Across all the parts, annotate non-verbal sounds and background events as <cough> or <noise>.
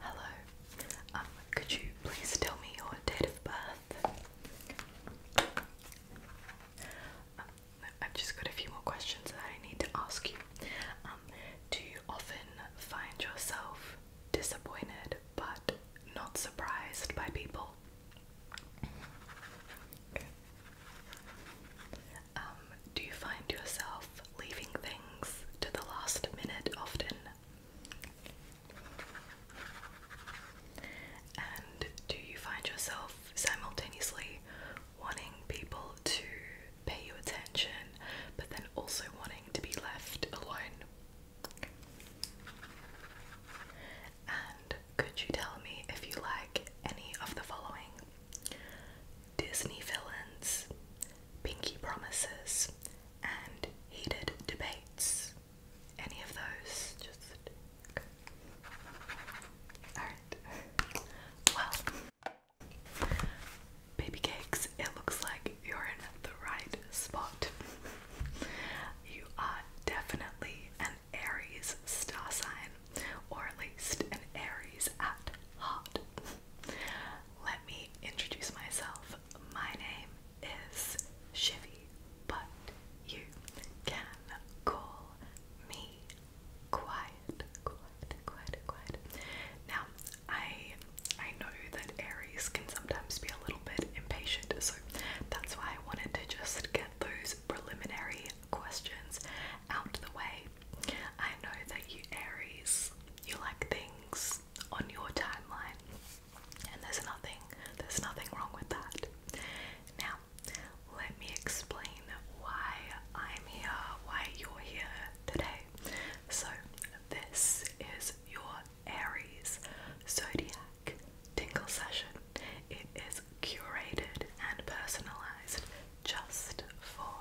Hello. Um, could you please tell me your date of birth? Um, I've just got a few more questions that I need to ask you. Um, do you often find yourself disappointed but not surprised by people? Um, do you find yourself leaving things to the last minute often? And do you find yourself simultaneously wanting people to pay you attention, but then also wanting to be left alone. And could you tell me if you like any of the following? Disney villains, pinky promises, and heated debates. Any of those? Just. Alright. Well. Baby cakes, it looks like you're in the right spot. you are definitely an Aries star sign, or at least an Aries at heart. Let me introduce myself. My name is Shivy, but you can call me Quiet. Quiet, quiet, quiet. Now, I I know that Aries can sometimes be a little bit impatient, so that's why I wanted to just get those preliminary questions out of the way. I know that you Aries, you like things on your timeline, and there's nothing there's nothing wrong with that. Now, let me explain why I'm here, why you're here today. So, this is your Aries Zodiac Tingle Session. It is curated and personalized just for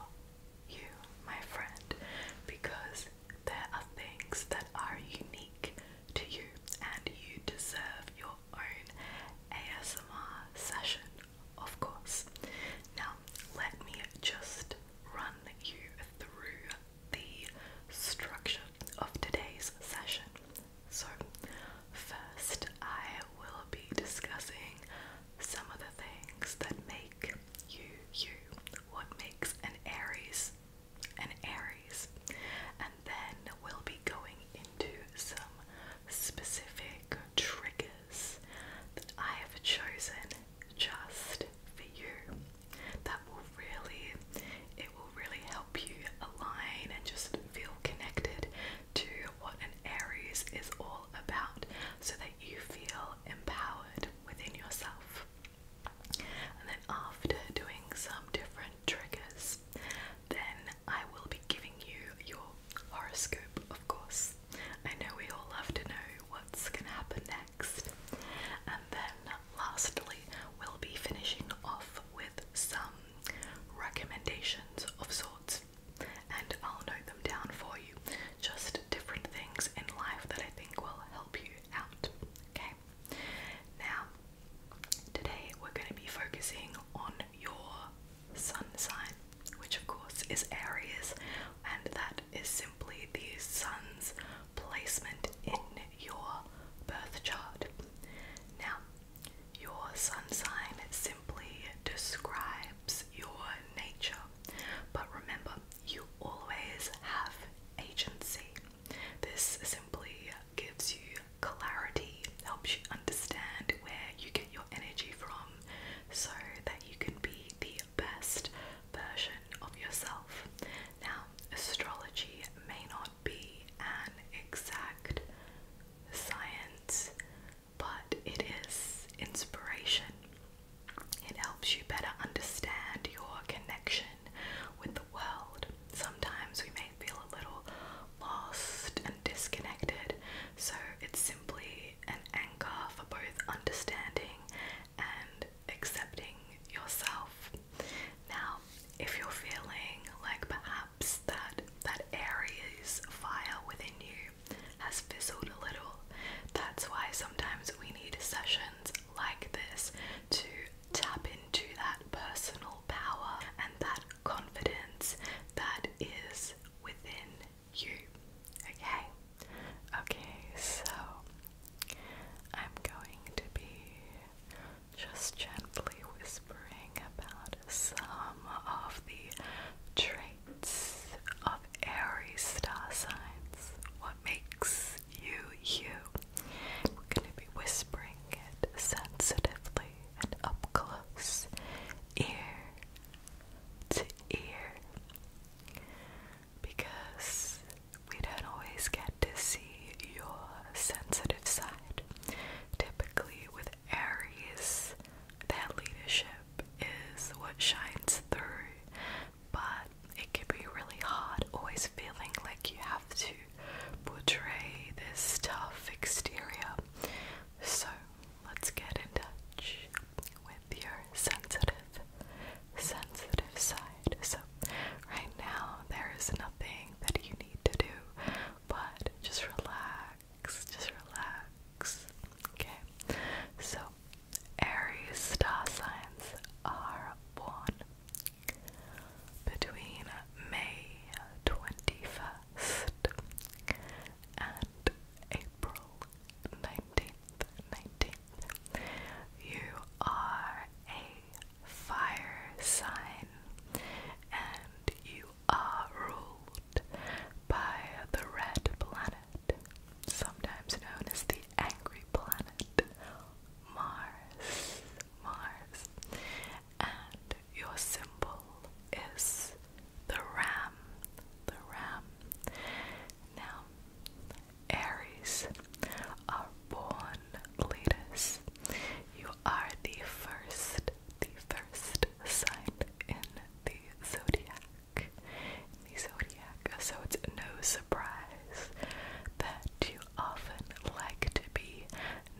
you, my friend, because there are things that are unique to you and you deserve your own ASMR session of course. Now, let me just run you through the structure of today's session. So, first, I will be discussing some of the things that make you you, what makes an Aries an Aries, and then we'll be going into some specific triggers that I have chosen just for you. That will really, it will really help you align and just feel connected to what an Aries is all about so that you feel empowered within yourself. And then after doing some different triggers, then I will be giving you your horoscope, of course. I know we all love to know what's going to happen next. And then lastly, we'll be finishing off with some recommendations of sorts. And I'll note them down for you. Just different things in life that I think will help you out. Okay? Now, today we're going to be focusing on your sun sign, which of course is Aries, and that is simply the sun's placement in your birth chart. Now, your sun sign simply describes your nature, but remember, you always have agency. This simply gives you clarity, helps you understand where you get your energy from so that you can be the best version of yourself. Now, astrology may not be an exact science, but it is inspiration. It helps you better understand your connection with the world. Sometimes we may feel a little lost and disconnected, so it's simply an anchor for both understanding and accepting yourself. Now, if you're feeling like perhaps that that Aries fire within you has fizzled a little, that's why sometimes we need sessions like this to tap into that personal power and that confidence that is within you. Okay? Okay, so I'm going to be just gently whispering about some of the traits of Aries star signs. What makes you you? We're going to be whispering it sensitively and up close, ear to ear because we don't always get to see your sensitive side. Typically, with Aries, that leadership is what shines through, but it can be really hard always feeling like you have to portray this tough exterior. So, let's get in touch with your sensitive, sensitive side. So, right now, there is nothing that you need to do but just relax, just relax. Okay, so Aries star signs are born between May 21st and April 19th. 19th. You are a fire sign and you are ruled by the red planet, sometimes known as the angry planet, Mars. Mars. And your symbol is the ram, the ram. Now, Aries are born leaders. You are the first, the first sign in the zodiac. In the zodiac, so it's no surprise that you often like to be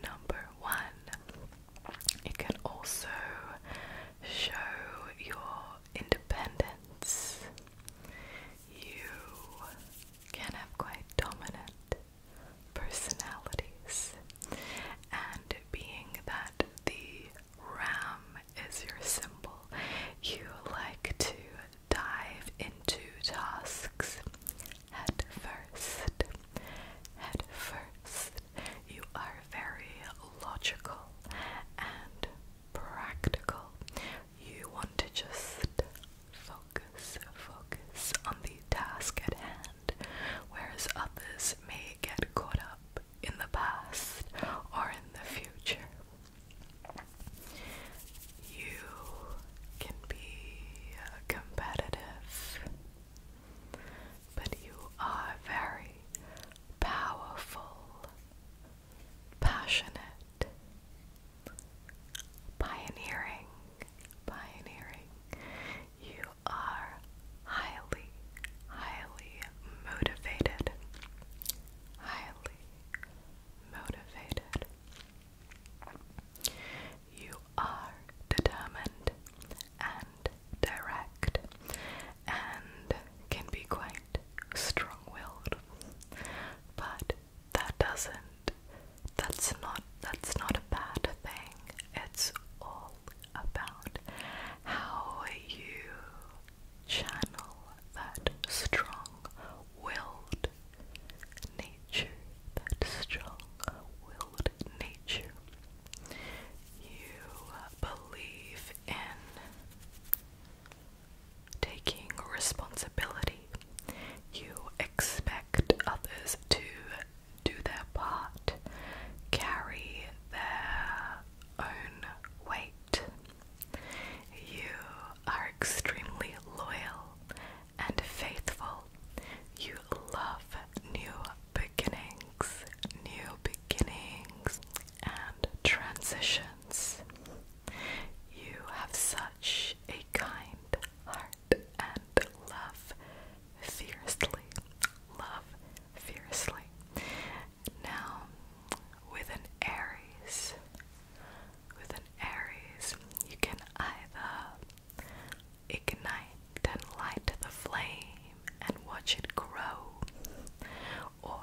number one. It can also show your independence. You can have quite dominant personalities, and being that the ram is your symbol, you like to dive into tasks head first. Head first. You are very logical and practical. You want to just focus, focus on the task at hand, whereas others may get caught up in the past or in the future. You can be uh, competitive, but you are very powerful passionate, pioneering, pioneering. You are highly, highly motivated, highly motivated. You are determined and direct and can be quite strong willed. But that doesn't that's not that's not a bad thing. It's all about how you channel that strong willed nature, that strong willed nature. You believe in taking responsibility. You expect others to do their part, carry their own weight. You are extremely loyal and faithful. You love new beginnings. New beginnings beginnings and transitions. You have such a kind heart and love fiercely. Love fiercely. Now, with an Aries, with an Aries, you can either ignite and light the flame and watch it grow. Or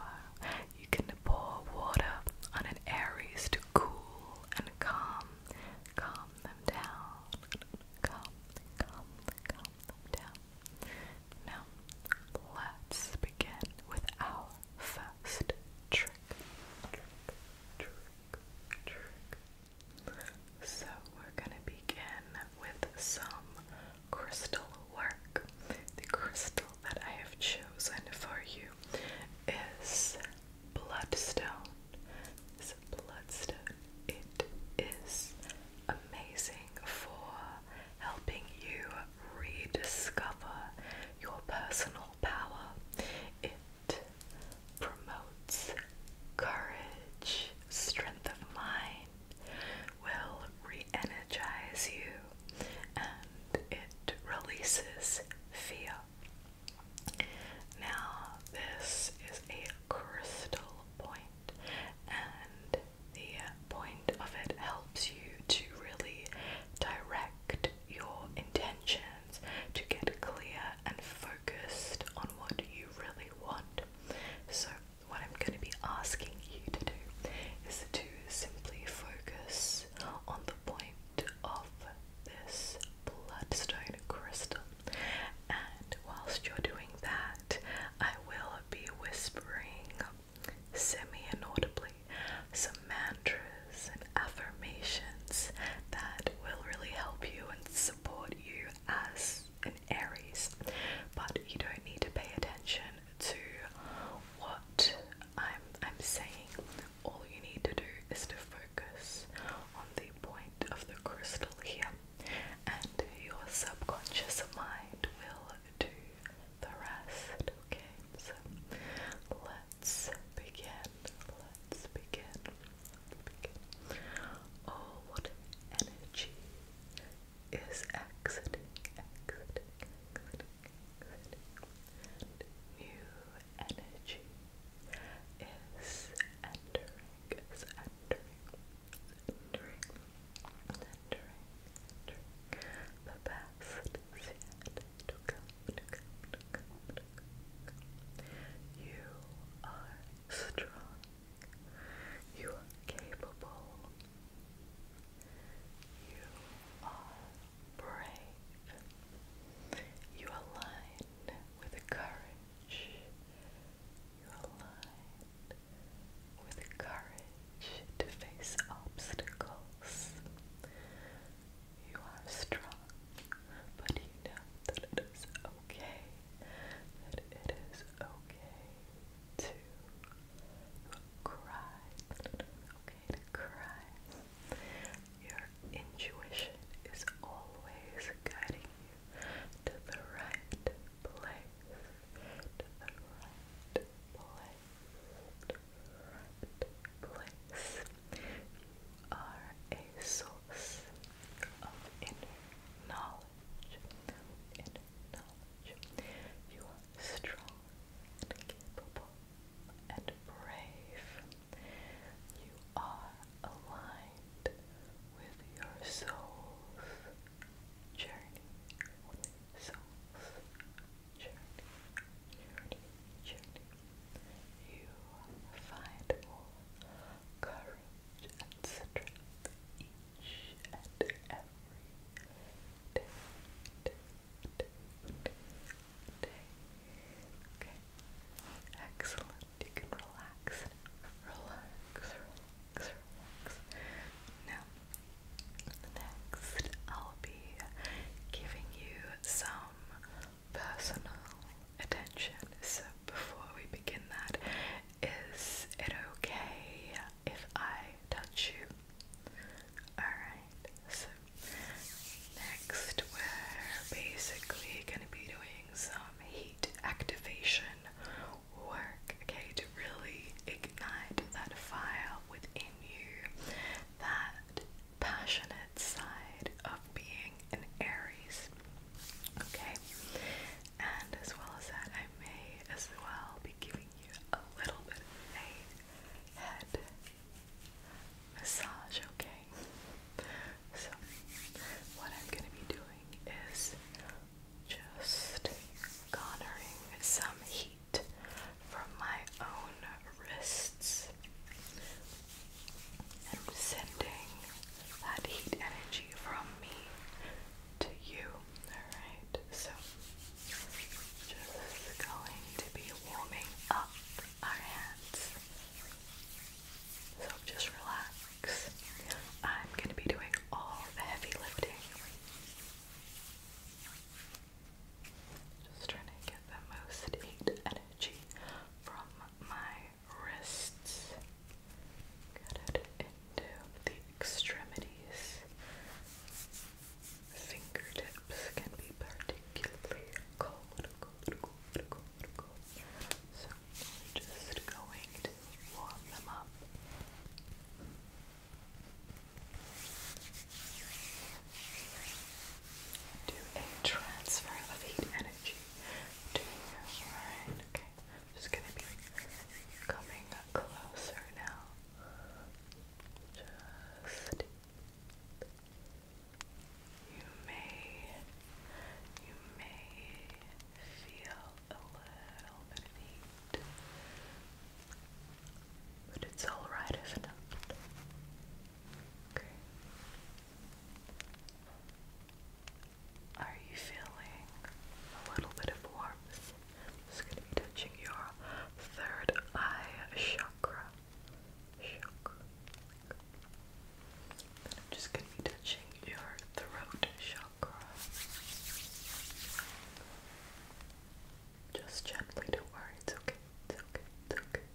you can pour water on an Aries to cool and calm, calm them down, calm, calm, calm them down. Now, let's begin with our first trick. Trick, trick, trick. So, we're going to begin with some crystal work. The crystal that I have chosen for you is bloodstone. It's bloodstone. It is amazing for helping you rediscover your personal power. It promotes courage, strength of mind, will re energize you and it releases fear. Now, this is a crystal point, and the point of it helps you to really direct your intentions to get clear and focused on what you really want. So, what I'm going to be asking you to do is to simply focus on the point of this bloodstone crystal. And whilst you're doing that, I will be whispering semi inaudibly some mantras and affirmations that will really help you and support you as. Aries, but you don't need to pay attention to what I'm I'm saying. All you need to do is to focus on the point of the crystal here, and your subconscious mind will do the rest. Okay, so let's begin. Let's begin. Let's begin. Oh, what energy is exiting, exiting, exiting, exiting. New energy is entering, is entering, entering, entering, entering. The yet to come. You are strong. You are capable. You are brave. You align with courage. You align with courage to face obstacles. You are strong, but you know that it is okay. That it is okay to cry. Okay, cry. Your intuition is always guiding you to the right place. To the right place. To the right place. You are a source of knowledge knowledge. You are strong and capable and brave. You are aligned with your soul's journey. soul's journey. Journey. Journey. You find more courage and strength excellent. You can relax, relax. Now, next, I'll be giving you some personal attention. So before we begin that, is it okay if I touch you. Alright, so next we're basically going to be doing some heat activation work, okay, to really ignite that fire within you, that passionate side of being an Aries, okay? And as well as that, I may as well be giving a little bit of a head massage, okay? So, what I'm going to be doing is just garnering some heat from my own wrists and sending that heat energy from me to you. Alright, so just going to be warming up our hands. So just relax. I'm going to be doing all the heavy lifting. Just trying to get the most energy from my wrists. Get it into the extremities. Fingertips can be particularly cold, So just going to warm them up. Do a transfer of heat energy to your mind. I'm just gonna be coming closer now. Just you may you may feel a little bit of heat. But it's alright, isn't Okay. Are you feeling a little bit of warmth? is. going to be touching your third eye chakra. Then I'm just going to be touching your throat chakra. Just gently, don't worry, it's okay, it's okay, it's okay.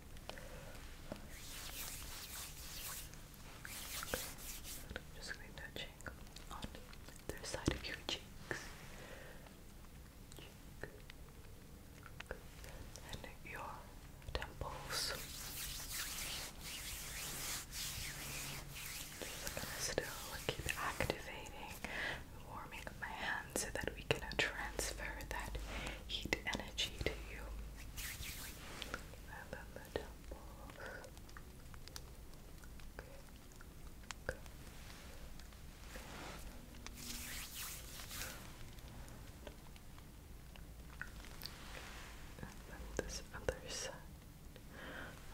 just going to be touching the side of your cheeks. And your temples. Just gonna keep activating, warming up my hands so that we can transfer that heat energy to you. And then the temples this other side.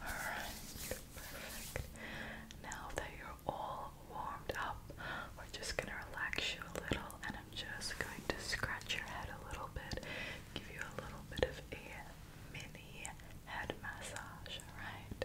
Alright, perfect. Now that you're all warmed up, we're just gonna relax you a little and I'm just going to scratch your head a little bit, give you a little bit of air mini head massage, alright?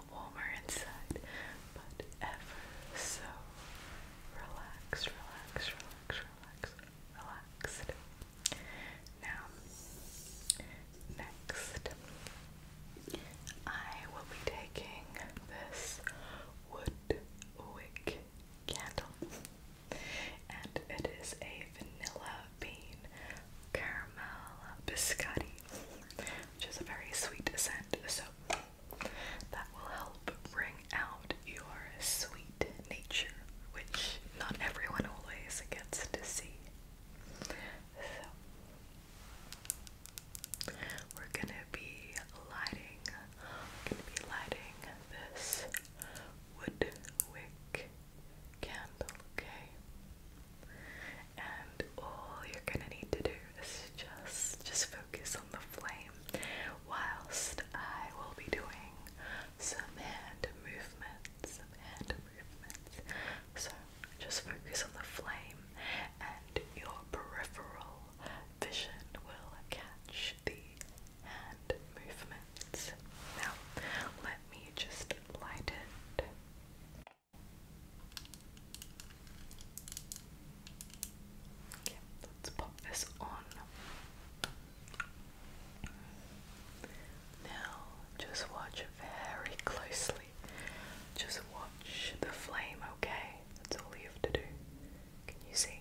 warmer inside, but ever so relaxed, relaxed, relaxed, relaxed, relaxed. Now, next, I will be taking this wood candle, and it is a vanilla bean caramel biscotti, which is a very sweet scent. So, that will help bring out your sweet nature, which not everyone always gets to see. So we're gonna be lighting, gonna be lighting this wood wick candle, okay? and all you're gonna need to do is just just focus on the flame whilst I will be doing some hand movements, hand movements. So just focus on the flame and your peripheral vision will catch the hand movements. Now let me just light it. Okay, let's pop this on. Now, just watch very closely. Just watch the flame, okay? That's all you have to do. Can you see?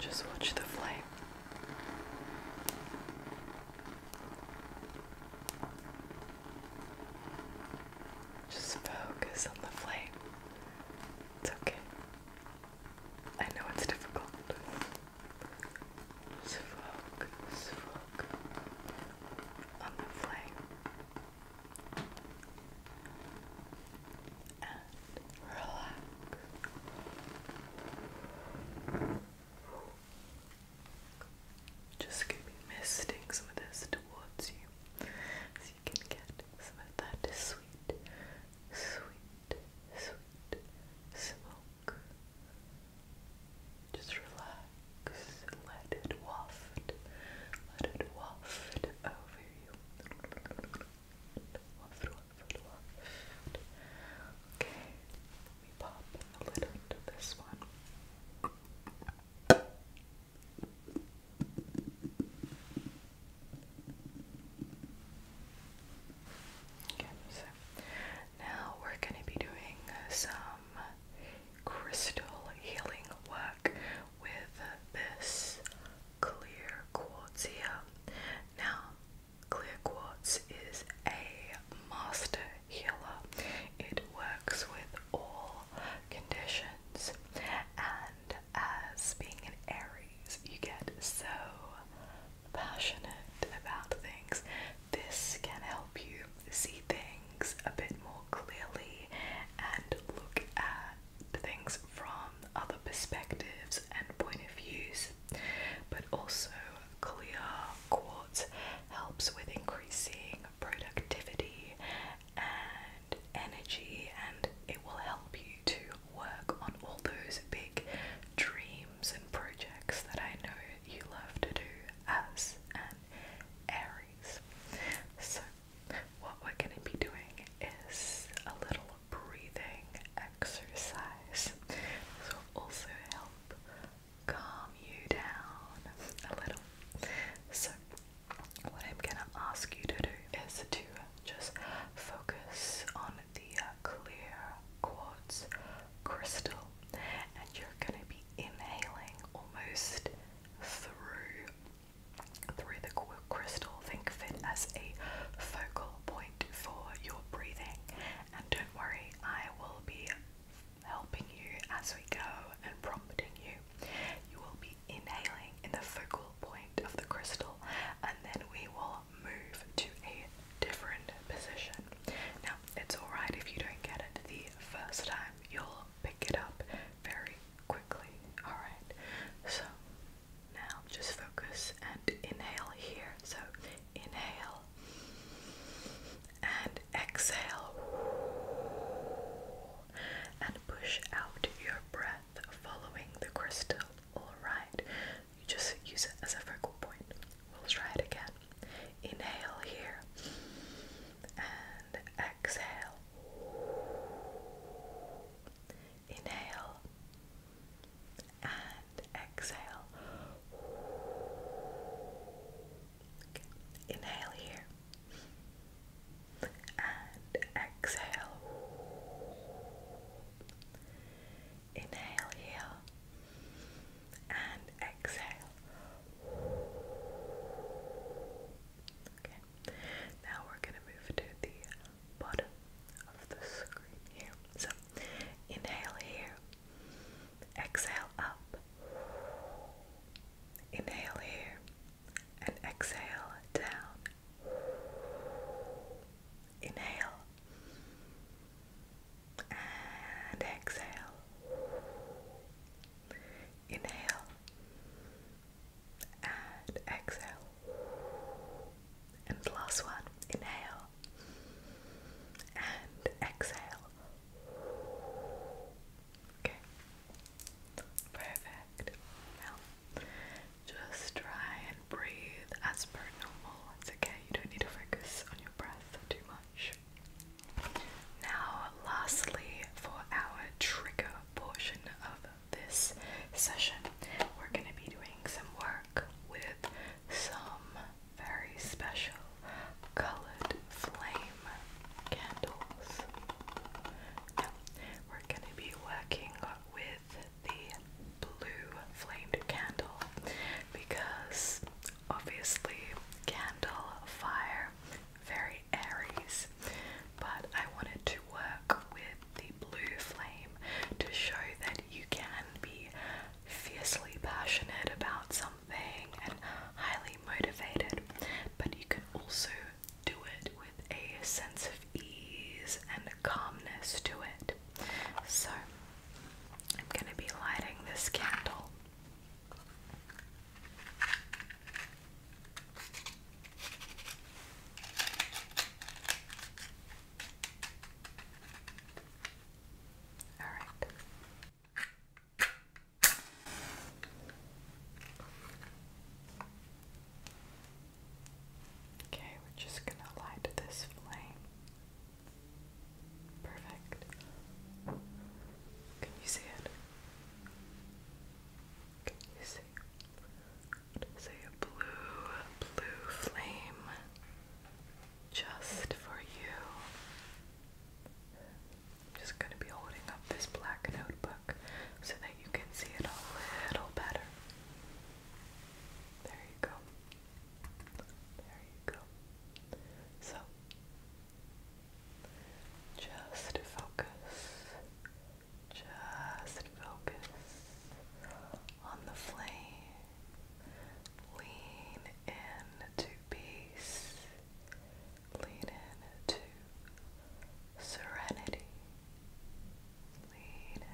Just watch the flame. Just focus on the flame. It's okay. I know it's difficult. focus, focus on the flame. And relax. Just going misting some of this towards you. So you can get some of that sweet, sweet, sweet smoke. Just relax, let it waft, let it waft over you. Okay, let pop the lid onto this one. Okay, so now we're going to be doing some crystal healing work with this clear quartz here. Now, clear quartz is a master healer, it works with all conditions and as being an Aries, you get so passionate about things. This can help you see things a bit more clearly and look at things from other perspectives and point of views. But also, clear quartz helps with increasing productivity and energy, and it will help you to work on all those big dreams and projects that I know you love to do as an Aries. So, what we're going to be doing is a little breathing exercise. This will also help calm you down a little. So, what I'm gonna ask you to do is to just focus on the uh, clear quartz crystal, and you're gonna be inhaling almost through through the crystal. Think of it as a focal point for your breathing, and don't worry, I will be helping you as we go and prompting you. You will be inhaling in the focal point of the crystal and then we will move to a different position. Now, it's alright if you don't get it the first time, you'll pick it up very quickly. Alright, so now just focus and inhale here. So, inhale and exhale and push out your breath following the crystal. Alright, you just use it as a focal point. We'll try it again. Inhale here and exhale. Inhale and exhale. Inhale here and exhale. Inhale here and exhale. Okay. Now we're going to move to the bottom of the screen here. So, inhale here. Exhale up. Inhale here and exhale down. Inhale and exhale. Inhale and exhale. And last one. Inhale and exhale. Okay. Perfect. Now, just try and breathe as per normal. It's okay. You don't need to focus on your breath too much. Now, lastly, for our trigger portion of this session, we're going to be doing some work with some very special colored flame candles. we're going to be working with the blue flamed candle because obviously candle fire very Aries, but I wanted to work with the blue flame to show that you can be fiercely passionate about something something and highly motivated, but you can also do it with a sense of ease and calmness to it. So, I'm going to be lighting this candle. All right. Okay, we're just going to light this flame. Perfect. Can you see it? Can you see? Say a blue, blue flame just for you. I'm just going to be holding up this black notebook so that you can see it a little better. There you go. There you go. So, just focus. Just focus on the flame. Lean into peace. Lean to serenity. peace.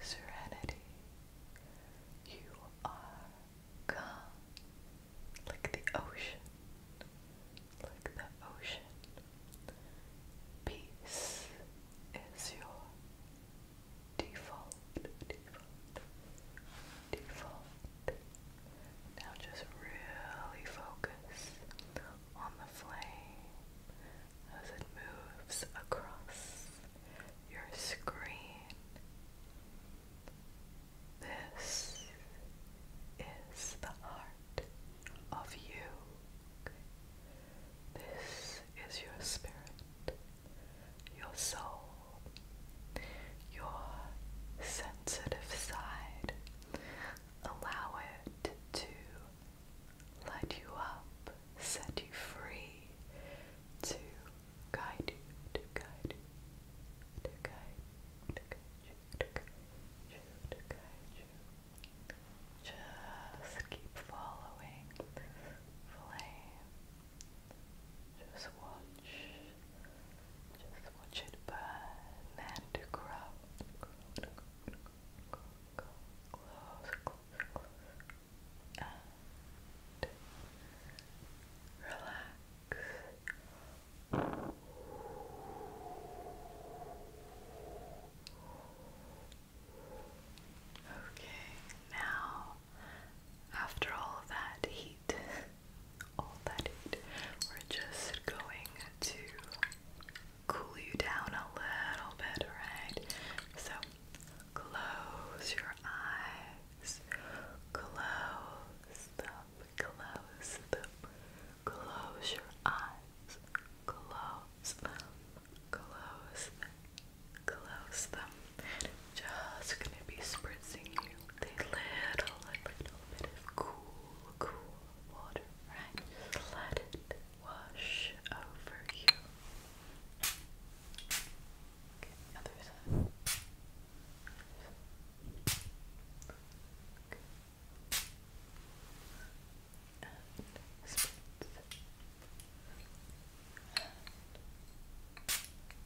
Serenity. You are calm, like the ocean, like the ocean. Peace is your default, default, default. Now just really focus on the flame as it moves across your screen. This is the heart of you. This is your spirit your soul, your sensitive side. Allow it to light you up, set you free, to guide you, to guide you, to guide you, to guide you, to guide you. Just keep following flame just watch, just watch it burn and grow, close, relax. Okay, now after all that heat, <laughs> all that heat, we're just going to cool you down a little bit, right? So close your eyes, close them, close them, close your eyes, close them, close them close them. Just gonna be spritzing you with a little, little bit of cool, cool water, right? let it wash over you.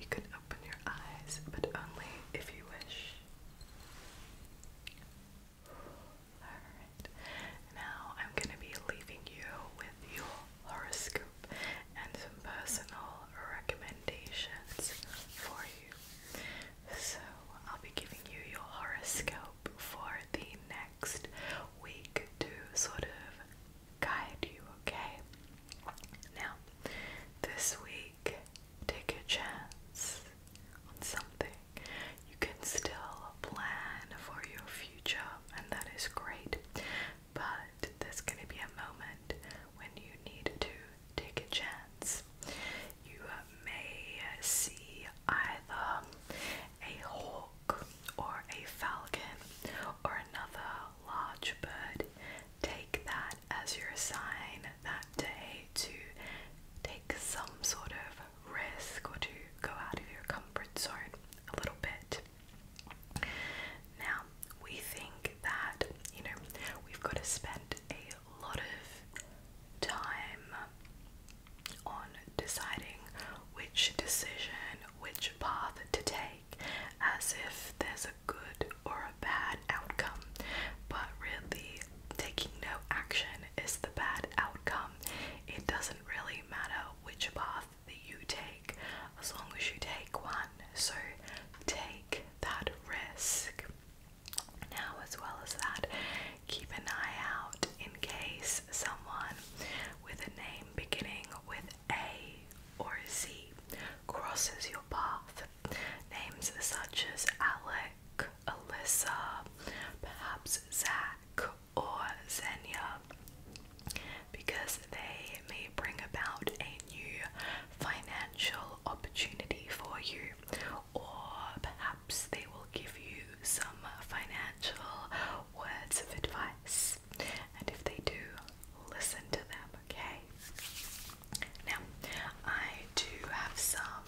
You can open your eyes, but only if you wish. now I'm going to be leaving you with your horoscope and some personal recommendations for you. So, I'll be giving you your horoscope for the next week to sort of guide you, okay? Now, this week, take a chance on something. You can still plan for your future, and that is great, but there's going to be a moment when you need to take a chance. You may see either a hawk or a falcon or another large bird, take that as your sign that day to take some sort of risk or to go out of your comfort zone a little bit. Now, we think that, you know, we've got to spend a lot of time on deciding which decision, which path to take as if there's a good or a bad outcome, but really taking no action is the bad outcome. It doesn't really matter which path that you take as long as you take one. So take that risk. Now, as well as that, keep an eye out in case someone with a name beginning with a or Z crosses your path. Names such as Alec, Alyssa, perhaps Zach, or Xenia, because they may bring about a new financial opportunity for you, or perhaps they will give you some financial words of advice. And if they do, listen to them, okay? Now, I do have some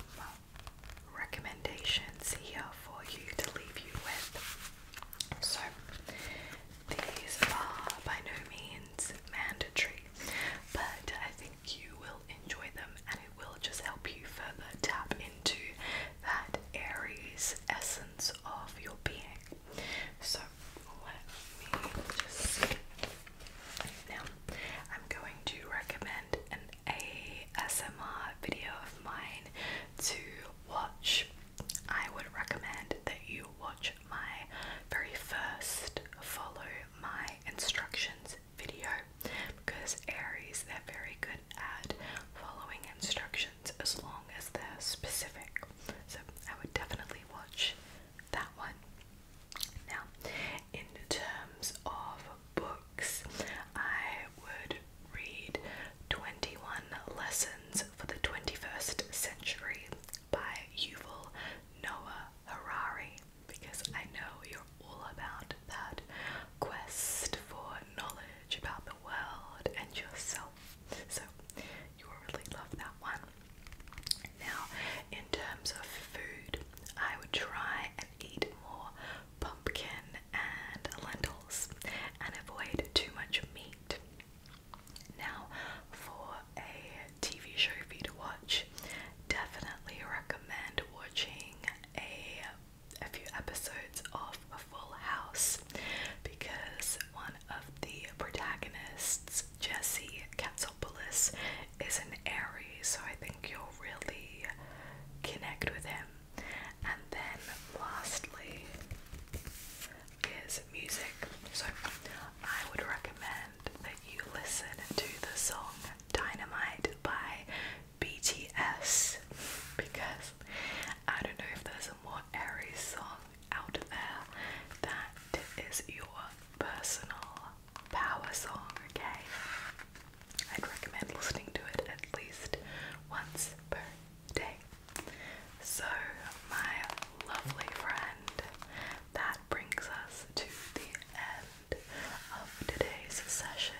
recommendations here for you to leave you with. So, these are by no means mandatory, but I think you will enjoy them and it will just help you further tap into that Aries essence of your being. So, now, I'm going to recommend an ASMR video of mine to watch. I would recommend that you watch my very first follow my instructions video because Aries, they're very good at following instructions as long as they're specific. So I would definitely watch that one. Now, in terms of books, I would read 21 Lessons for the 21st Century by Yuval Noah Harari because I know you're all about that quest for knowledge about the world and yourself. So you really love that one. Now, in terms of food, I would try and eat more pumpkin and lentils and avoid too much meat. Now, for a TV show for you to watch, definitely recommend watching a a few episodes of a Full House because one of the protagonists, Jesse Katsopolis, is an Aries, so I think you'll really connect with him. And then lastly is music. So I would recommend that you listen to the song Dynamite by BTS because I don't know if there's a more Aries song out there. That is your personal power song, okay? I'd recommend listening to it at least once per day. So, my lovely friend, that brings us to the end of today's session.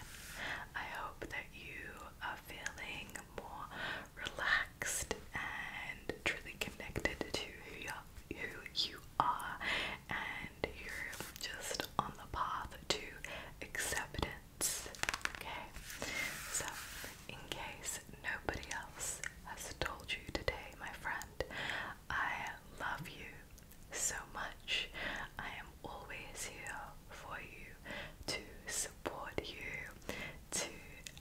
I hope that you are feeling more relaxed and truly connected to who you, are, who you are, and you're just on the path to acceptance. Okay, so in case nobody else has told you today, my friend, I love you so much. I am always here for you to support you, to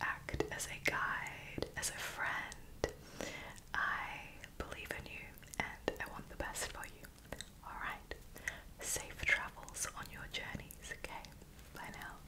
act as a guide, as a friend. I believe in you and I want the best for you. Alright, safe travels on your journeys, okay? Bye now.